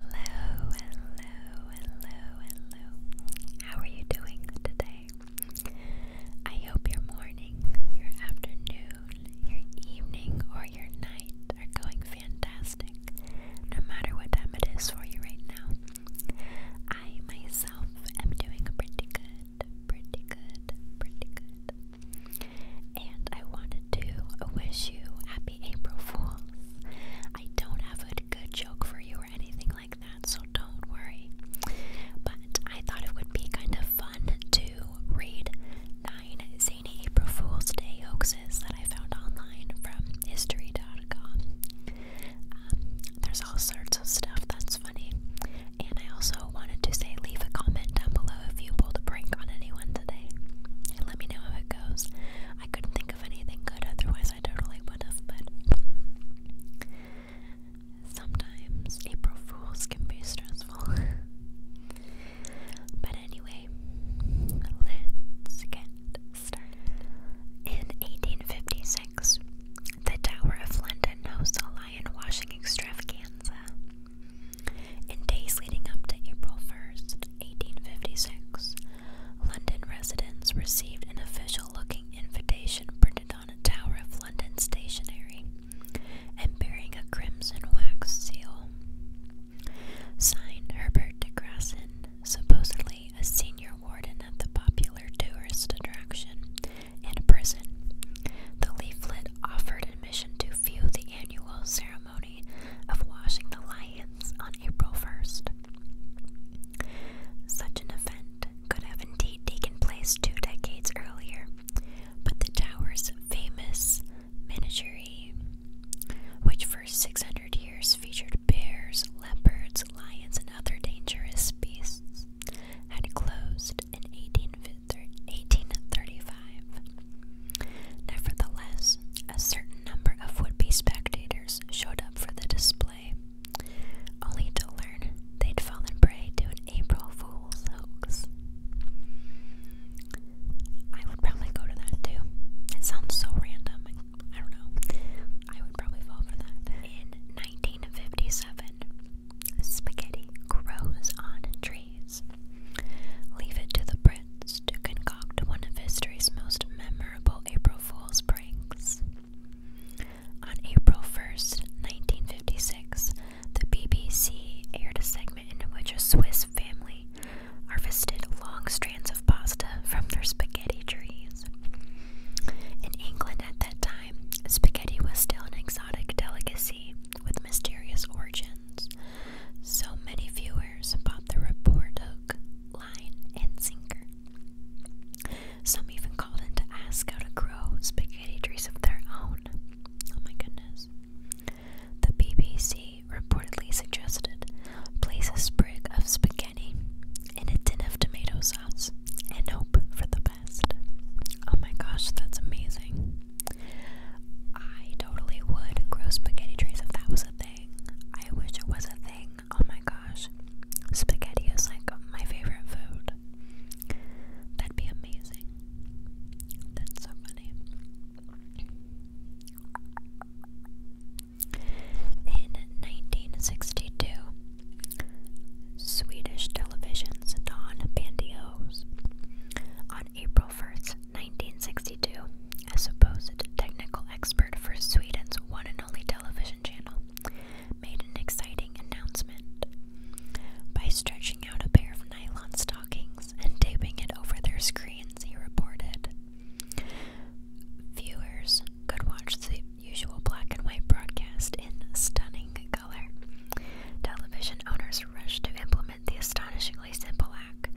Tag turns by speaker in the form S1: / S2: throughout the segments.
S1: Hello, hello, hello, hello. How are you doing today? I hope your morning, your afternoon, your evening, or your night are going fantastic, no matter what time it is for you right now. I myself am doing pretty good, pretty good, pretty good. And I wanted to wish you happy April Fool's. I don't have a good joke for you or anything like that, so don't worry. But I thought it would be kind of fun to read nine zany April Fool's Day hoaxes that I found online from history.com. Um, there's all sorts of stuff that's funny. And I also wanted to say leave a comment down below if you pulled a prank on anyone today. let me know how it goes. I couldn't think think anything good, otherwise, I totally would have. But sometimes April Fools can be stressful. but anyway, let's get started. In 1856, the Tower of London hosts a lion washing extravaganza. In days leading up to April 1st, 1856, London residents received an official looking invitation printed on a tower of London stationery and bearing a crimson wax seal. Signed Herbert de Grassen, supposedly a senior warden of the popular tourist attraction and prison. The leaflet offered admission to view the annual ceremony of washing the lions on April 1st. Such an event could have indeed taken place two decades earlier, but the tower's famous menagerie, which for 600 years featured bears, leopards, lions, and other dangerous beasts, had closed in 1835. Nevertheless, a certain number of would be spectators showed up for the display, only to learn they'd fallen prey to an April Fool's hoax. I would probably go to that too. It sounds so random. I don't know. I would probably fall for that. In 1957, spaghetti grows on trees. Leave it to the prince to concoct one of history's most memorable April Fool's pranks. On April 1st, 1956, the BBC aired a segment in which a Swiss family harvested long strands of pasta from their spaghetti trees. In England at that time, spaghetti was still an exotic delicacy with mysterious origins, so many viewers bought the report hook, line, and sinker. Some even called in to ask how to grow spaghetti trees of their own. Oh my goodness. The BBC reportedly suggested place a sprig of spaghetti in a tin of tomato sauce and hope for the best. Oh my gosh, that's amazing. I totally would grow spaghetti trees if that was thing. I wish it was a thing. Oh my gosh. Spaghetti is like my favorite food. That'd be amazing. That's so funny. In 1962, Swedish television's Don Bandios April 1st, 1962, a supposed technical expert for Sweden's one and only television channel made an exciting announcement. By stretching out a pair of nylon stockings and taping it over their screens, he reported, viewers could watch the usual black and white broadcast in stunning color. Television owners rushed to implement the astonishingly simple act,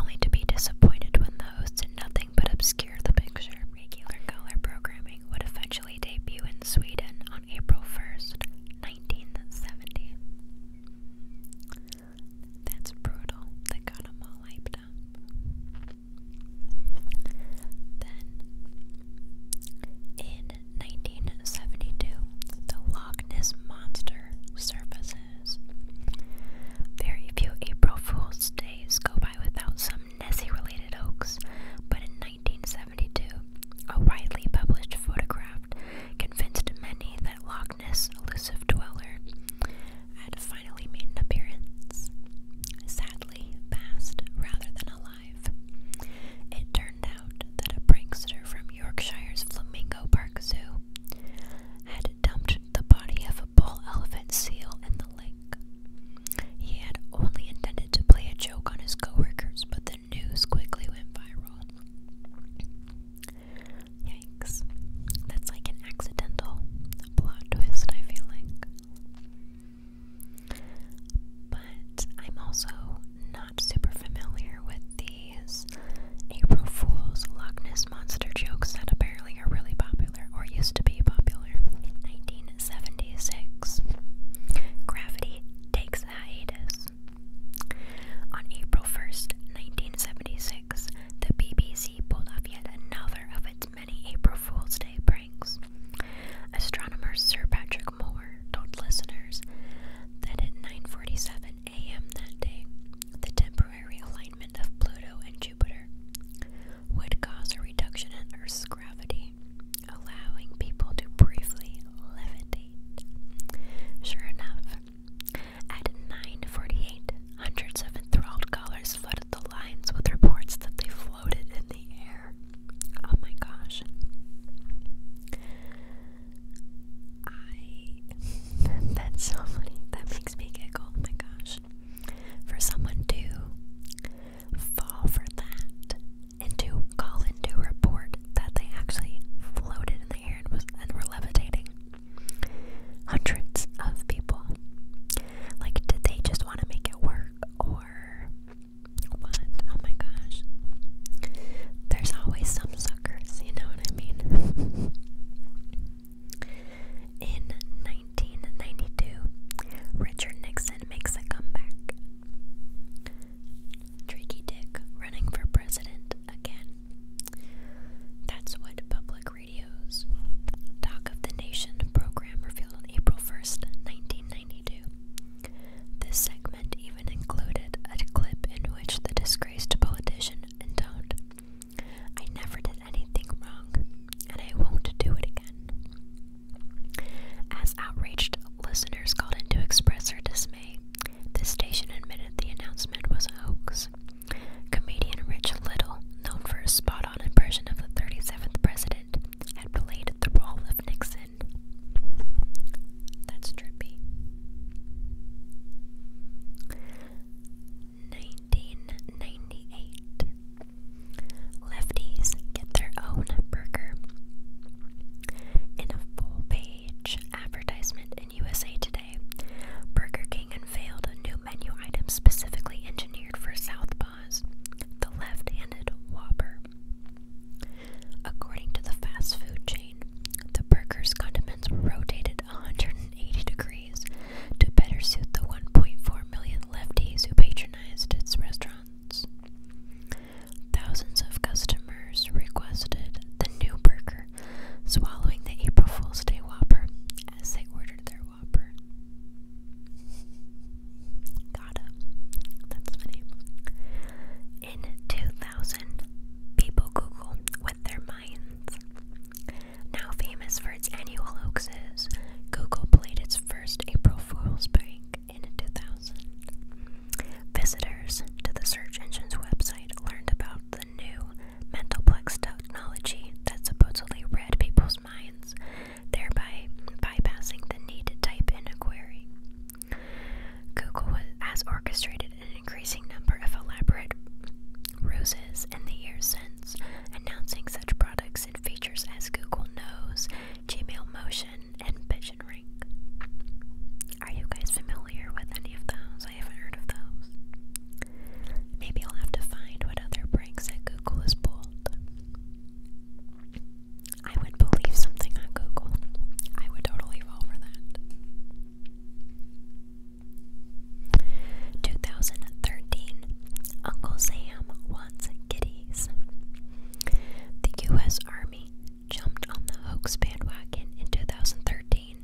S1: only to be disappointed when the host did nothing but obscure the picture. Regular color programming would eventually debut in Sweden on April 1st, 1970. That's brutal. They got them all hyped up. Then, in 1972, the Loch Ness Monster surfaces is. Very few April Fool's days go by without some Nessie related hoax, but in 1972, a widely published photograph convinced many that Loch Ness elusive dweller had finally made an appearance. Sadly, passed rather than alive. It turned out that a prankster from Yorkshire's Flamingo Park Zoo, had dumped the body of a bull elephant seal in the lake. He had only intended to play a joke on his coworkers, but the news quickly went viral. Yikes. That's like an accidental plot twist, I feel like. But I'm also not super familiar with the these April Fool's Loch Ness Monster jokes that apparently are really popular, or used to be popular, in 1976. Gravity takes a hiatus. On April 1st, 1976, the BBC pulled off yet another of its many April Fool's Day pranks. Astronomer Sir Patrick Moore told listeners that at 9:47 a.m. that day, the temporary alignment of Pluto and Jupiter would cause a reduction in Earth's gravity, allowing people to briefly levitate. Sure enough, at 9:48, hundreds of enthralled callers flooded the lines with reports that they floated in the air. Oh my gosh. I that's so funny. That makes me giggle. Oh my gosh. For someone to fall for that and to call in to report that they actually floated in the air and was and were levitating. Hundreds of people. Like did they just want to make it work or what? Oh my gosh. There's always something suckers, you know what I mean? In 1992, Richard Nixon makes a comeback. Tricky Dick running for president again. That's what Public Radio's Talk of the Nation program revealed on April 1st, 1992. This segment even included a clip in which the disgraced politician intoned, I never did anything wrong, and I won't do it again. As outraged listeners called in to express their dismay, the station admitted the announcement was a hoax. Comedian Rich Little, known for his spot on impression of the 37th president, had played the role of Nixon. That's trippy. 1998. Lefties get their own burger. In a full page advertisement in USA Today, Burger King unveiled a new menu item specifically engineered for Southpaws the left handed Whopper. According to the fast food chain, the burger's condiments were rotated 180 degrees to better suit the 1.4 million lefties who patronized its restaurants. Thousands of customers requested the new burger, swallowing the April Fool's Day Whopper as they ordered their Whopper. got That's funny. In 2000, thousand, people Google with their minds. Now famous for its annual hoaxes, Google played its first April Fool's prank in 2000. Visitors to the search engine's website learned about the new Mentalplex technology that supposedly read people's minds, thereby bypassing the need to type in a query. Google has orchestrated an increasing number of elaborate roses in the years since, announcing such products and features as Google Nose, Gmail Motion, and Vision Ring. Are you guys familiar with any of those? I haven't heard of those. Maybe I'll have to find what other pranks that Google has pulled. I would believe something on Google. I would totally fall for that. 2013 Uncle Sam wants kitties. The U.S. Army jumped on the hoax bandwagon in 2013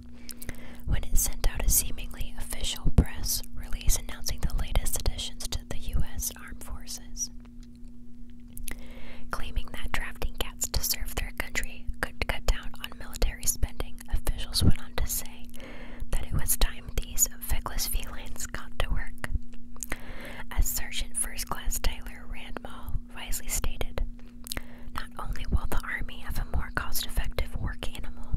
S1: when it sent out a seemingly official press release announcing the latest additions to the U.S. Armed Forces. Claiming that drafting cats to serve their country could cut down on military spending, officials went on to say that it was time these feckless felines got to work. As Sergeant First Class Tyler Randall wisely stated, not only will the Army have a more cost effective work animal,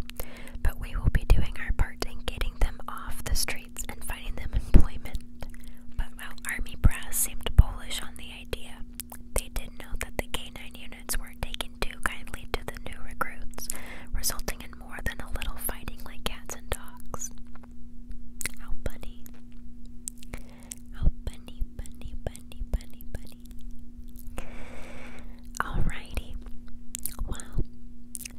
S1: but we will be doing our part in getting them off the streets and finding them employment. But while Army brass seemed bullish on the idea, they did not know that the K9 units weren't taken too kindly to the new recruits, resulting in more than a little fighting like cats and dogs. How bunny. How bunny, bunny, bunny, bunny. Alrighty. Well,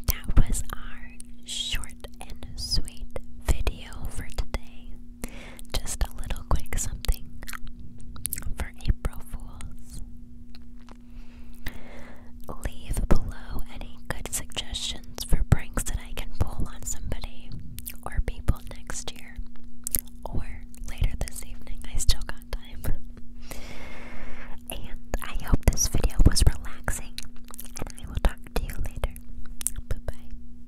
S1: that was our short and sweet video for today. Just a little quick something for April Fools. Leave below any good suggestions for pranks that I can pull on somebody or people next year or later this evening. I still got time. And I hope this video was relaxing, and I will talk to you later. Bye bye.